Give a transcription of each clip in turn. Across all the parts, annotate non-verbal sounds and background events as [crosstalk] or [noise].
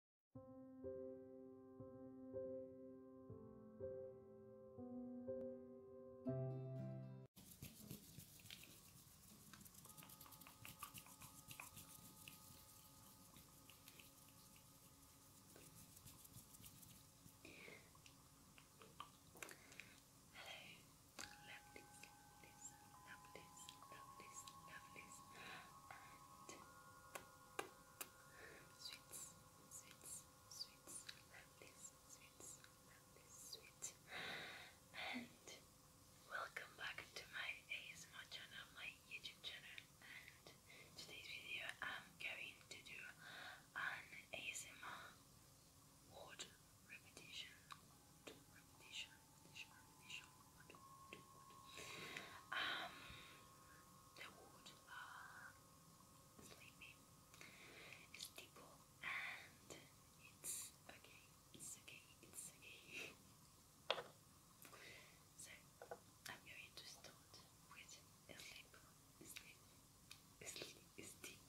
lovelies, lovelies, lovelies, lovelies, and Sweets, sweets, sweets, lovelies, sweets, lovelies, sweets. And welcome back to my ASMR channel, my YouTube channel. And today's video I'm going to do an ASMR word repetition. Word repetition wood, wood. the wood are sleepy. It's people and it's okay. It's okay. It's okay. so I'm going to start with a sleep, sleep, sleep, sleep.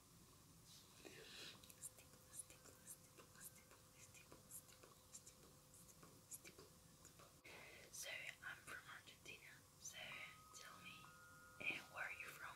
So I'm from Argentina. So tell me eh, where are you from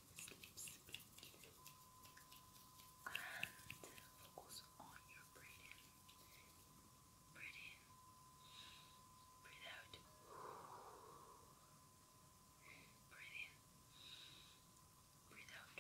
sleep, sleep, and focus on your breathing. Breathe in, breathe out. Breathe in, breathe out.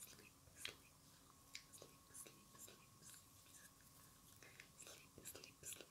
Sleep, sleep, sleep, sleep, sleep, sleep, sleep, sleep, sleep.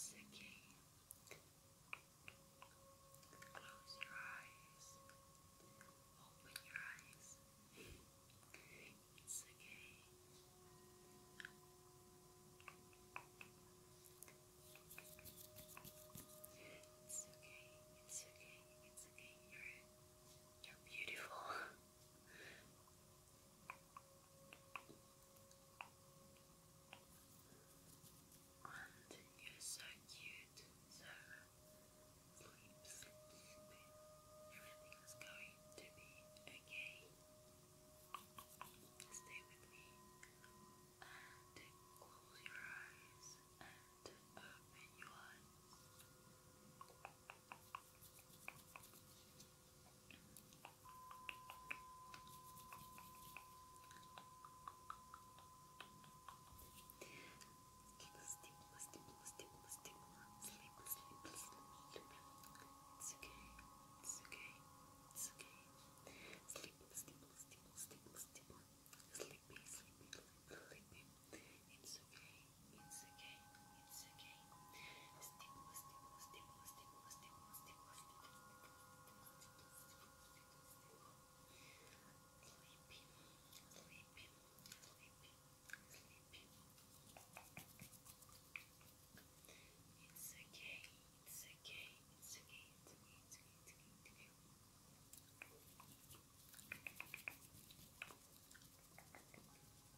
Siki. Close your eyes. Open your eyes. It's okay. It's okay. It's okay. you you're beautiful. [laughs] And you're so cute, so sleep, sleep, sleep. going to be okay. Stay with me and close your eyes and open your eyes. Sleep, sleep, sleep, sleep, sleep, sleep, It's okay. It's okay. It's okay. Sleep, sleep, sleep, sleep, sleep. Sleepy, sleepy, sleepy. It's okay. It's okay. It's okay. Stimulus, stimulus, stimulus, stimulus, stimulus, stimulus, sleepy, sleepy, sleepy, sleepy. It's okay, it's okay, it's okay, it's okay, it's okay, it's okay, it's okay. It's okay.